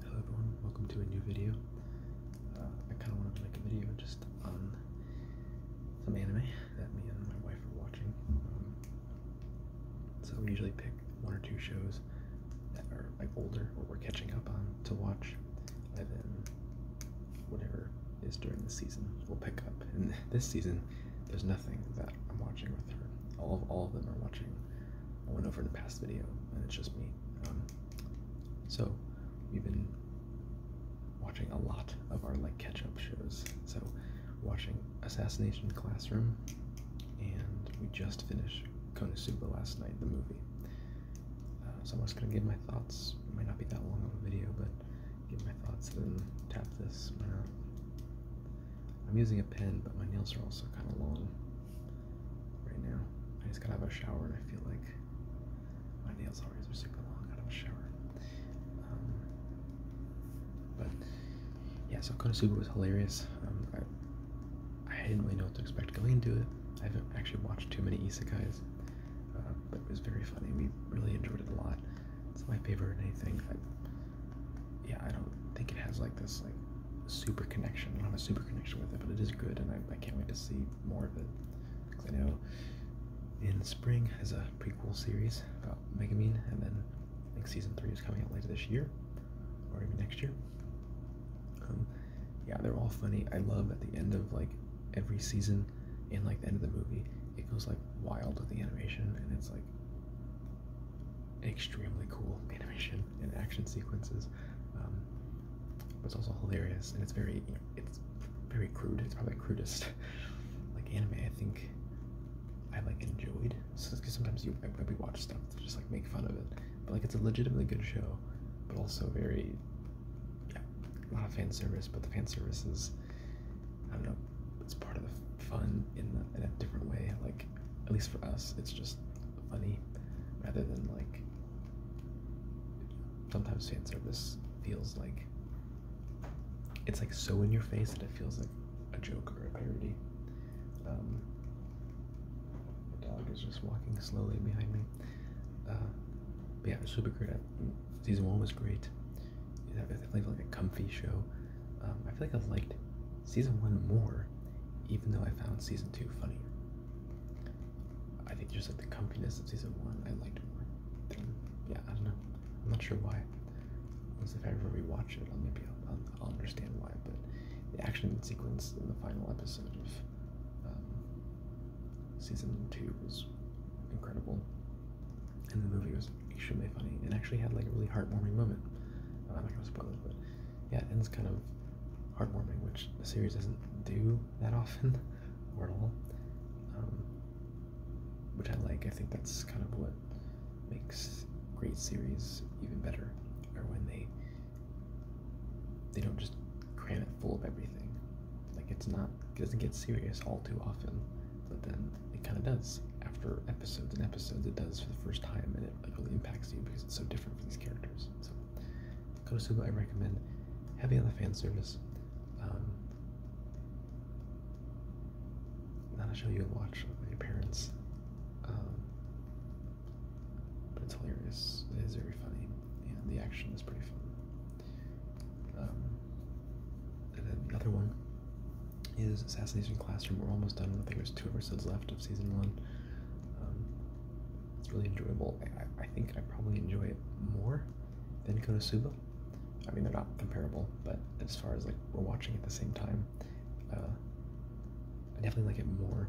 Hello everyone, welcome to a new video. Uh, I kind of wanted to make a video just on some anime that me and my wife are watching. Um, so we usually pick one or two shows that are like older or we're catching up on to watch, and then whatever is during the season we'll pick up. And this season, there's nothing that I'm watching with her. All of all of them are watching I went over in the past video, and it's just me. Um, so we've been watching a lot of our like catch-up shows. So watching Assassination Classroom, and we just finished Konosuba last night, the movie. Uh, so I'm just gonna give my thoughts. It might not be that long of a video, but give my thoughts. Then tap this. I'm using a pen, but my nails are also kind of long right now. I just got to have a shower and I feel like my nails always are super long out of a shower. Um, but yeah, so Konosuba was hilarious. Um, I, I didn't really know what to expect going into it. I haven't actually watched too many isekais, uh, but it was very funny. We really enjoyed it a lot. It's my favorite anything yeah, I don't think it has like this like super connection. I don't have a super connection with it, but it is good, and I, I can't wait to see more of it. Because I know in spring has a prequel series about Megamind, and then I think season three is coming out later this year, or even next year. Um, yeah, they're all funny. I love at the end of like every season, and like the end of the movie, it goes like wild with the animation, and it's like extremely cool animation and action sequences. Um, it's also hilarious and it's very it's very crude. It's probably the crudest like anime I think I like enjoyed. So sometimes you maybe watch stuff to just like make fun of it, but like it's a legitimately good show, but also very yeah a lot of fan service. But the fan service is I don't know it's part of the fun in, the, in a different way like at least for us, it's just funny rather than like sometimes fan service feels like it's like so in your face that it feels like a joke or a parody. Um, the dog is just walking slowly behind me. Uh, yeah, it was super great. Season one was great. It felt like a comfy show. Um, I feel like I liked season one more, even though I found season two funnier. I think just like the comfiness of season one, I liked more. Than, yeah, I don't know. I'm not sure why. Once if I ever rewatch it, I'll maybe I'll, I'll, I'll understand why. But the action sequence in the final episode of um, season two was incredible, and the movie was extremely funny It actually had like a really heartwarming moment. I'm not gonna spoil it, but yeah, it ends kind of heartwarming, which the series doesn't do that often or at all, um, which I like. I think that's kind of what makes great series even better, or when they they don't just cram it full of everything. Like it's not doesn't get serious all too often, but then it kind of does after episodes and episodes. It does for the first time, and it like really impacts you because it's so different for these characters. So Konosuba I recommend heavy on the fan service. Um, not a show you would watch with your parents. Um, but it's hilarious. It is very funny. And the action is pretty fun. Um, and then the other one is Assassination Classroom. We're almost done. I think there's two episodes left of season one. Um, it's really enjoyable. I, think I probably enjoy it more than Konosuba. I mean, they're not comparable, but as far as like we're watching at the same time, uh, I definitely like it more.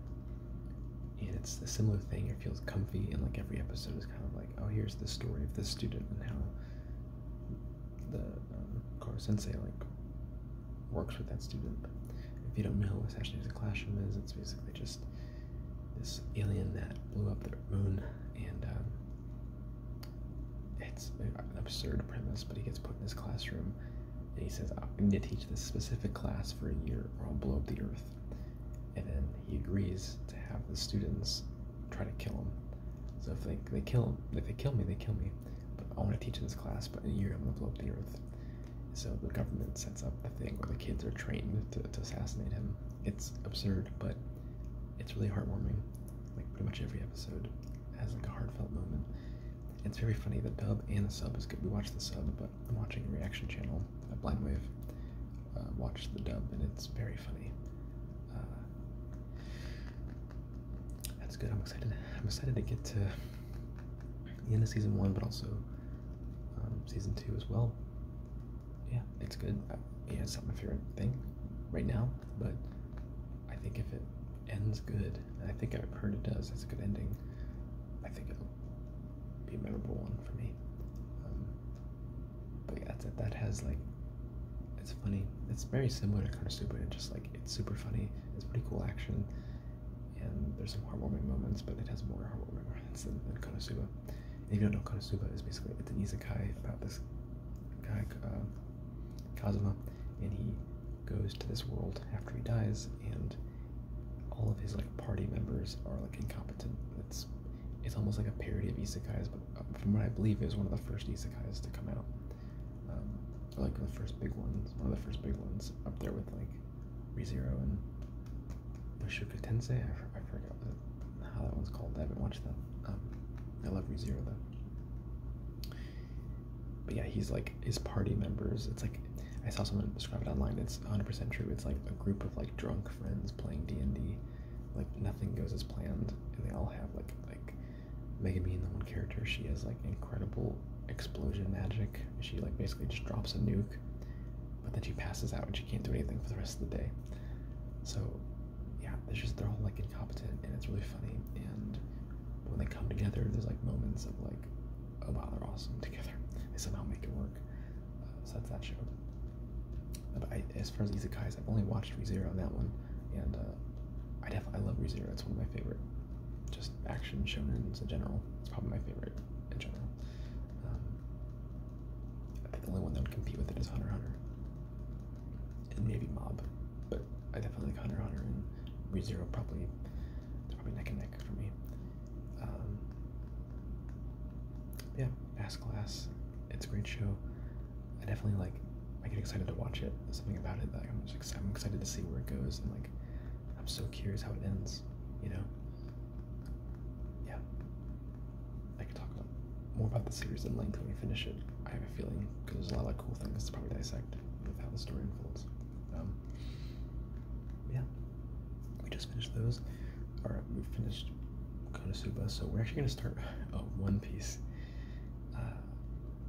And it's a similar thing. It feels comfy, and like every episode is kind of like, oh, here's the story of this student and how the um, Koro like works with that student. If you don't know what Session Music Classroom is, it's basically just this alien that blew up the moon, and um, it's an absurd premise. But he gets put in this classroom, and he says, "I'm going to teach this specific class for a year, or I'll blow up the Earth." And then he agrees to have the students try to kill him. So if they, they kill if they kill me, they kill me. But I want to teach this class, but in a year I'm gonna blow up the Earth. So the government sets up the thing where the kids are trained to, to assassinate him. It's absurd, but it's really heartwarming. Like pretty much every episode has like a heartfelt moment. It's very funny. The dub and the sub is good. We watch the sub, but I'm watching a reaction channel at blind wave. Uh, watch the dub, and it's very funny. Uh, that's good. I'm excited. I'm excited to get to the end of season one, but also um, season two as well. Yeah, it's good. Uh, yeah, it's not my favorite thing right now, but I think if it ends good, and I think I've heard it does, it's a good ending. I think it'll be a memorable one for me. Um, but yeah, that's That has like, it's funny. It's very similar to Konosuba, and just like it's super funny. It's pretty cool action and there's some heartwarming moments, but it has more heartwarming moments than, Konosuba. if you don't know, Konosuba is basically it's an isekai about this guy uh, Kazuma, and he goes to this world after he dies, and all of his like party members are like incompetent. It's it's almost like a parody of isekais, but uh, from what I believe, it was one of the first isekais to come out. Um, like the first big ones, one of the first big ones up there with like ReZero and Mushoku Tensei. I, I forgot how that one's called. I haven't watched that. Um, I love ReZero though. But yeah, he's like his party members. It's like I saw someone describe it online. It's 100% true. It's like a group of like drunk friends playing D and D. Like nothing goes as planned, and they all have like like Megan being the one character, she has like incredible explosion magic. She like basically just drops a nuke, but then she passes out and she can't do anything for the rest of the day. So yeah, it's just they're all like incompetent and it's really funny. And when they come together, there's like moments of like, oh wow, they're awesome together. They somehow make it work. Uh, so that's that show. But as far as Izakai's, I've only watched ReZero on that one, and uh, I definitely I love ReZero. It's one of my favorite just action shonens in general. It's probably my favorite in general. Um, I think the only one that would compete with it is Hunter Hunter, and maybe Mob, but I definitely like Hunter Hunter and ReZero probably. They're probably neck and neck for me. Um, yeah, Mass Class. It's a great show. I definitely like. I get excited to watch it. something about it that I'm excited to see where it goes and like I'm so curious how it ends, you know? Yeah. I could talk about more about the series in length when we finish it. I have a feeling, because there's a lot of cool things to probably dissect with how the story unfolds. Um, yeah. We just finished those. Alright, we finished Konosuba, so we're actually going to start oh, One Piece. Uh,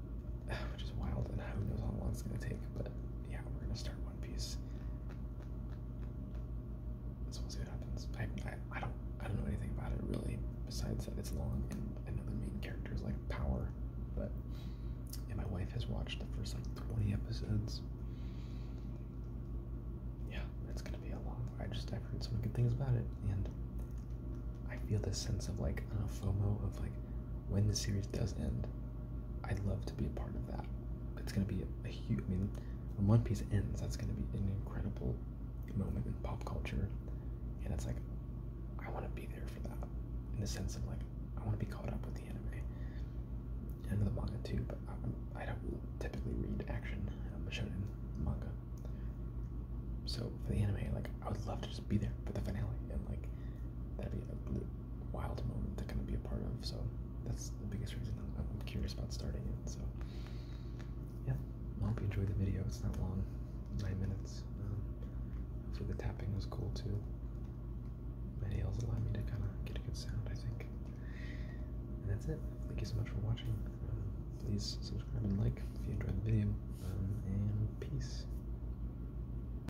which is wild, and who knows how long it's gonna take. But yeah, we're gonna start One Piece. Let's see what happens. I, I, don't I don't know anything about it really, besides that it's long and I know the main character like power, but and my wife has watched the first like 20 episodes. Yeah, it's gonna be a long. I just I've heard so many good things about it, and I feel this sense of like I uh, FOMO of like when the series does end. I'd love to be a part of that. It's going to be a, huge. I mean, when One Piece ends, that's going to be an incredible moment in pop culture, and it's like I want to be there for that. In the sense of like I want to be caught up with the anime and the manga too, but I, I don't typically read action um, shonen manga. So for the anime, like I would love to just be there for the finale and like that'd be wild moment to kind of be a part of. So that's the biggest reason I'm, curious about starting it. So yeah, I hope you enjoyed the video. It's not long, nine minutes. Um, hopefully the tapping was cool too. My nails allow me to kind of get a good sound, I think. And that's it. Thank you so much for watching. Um, please subscribe and like if you enjoyed the video. Um, and peace.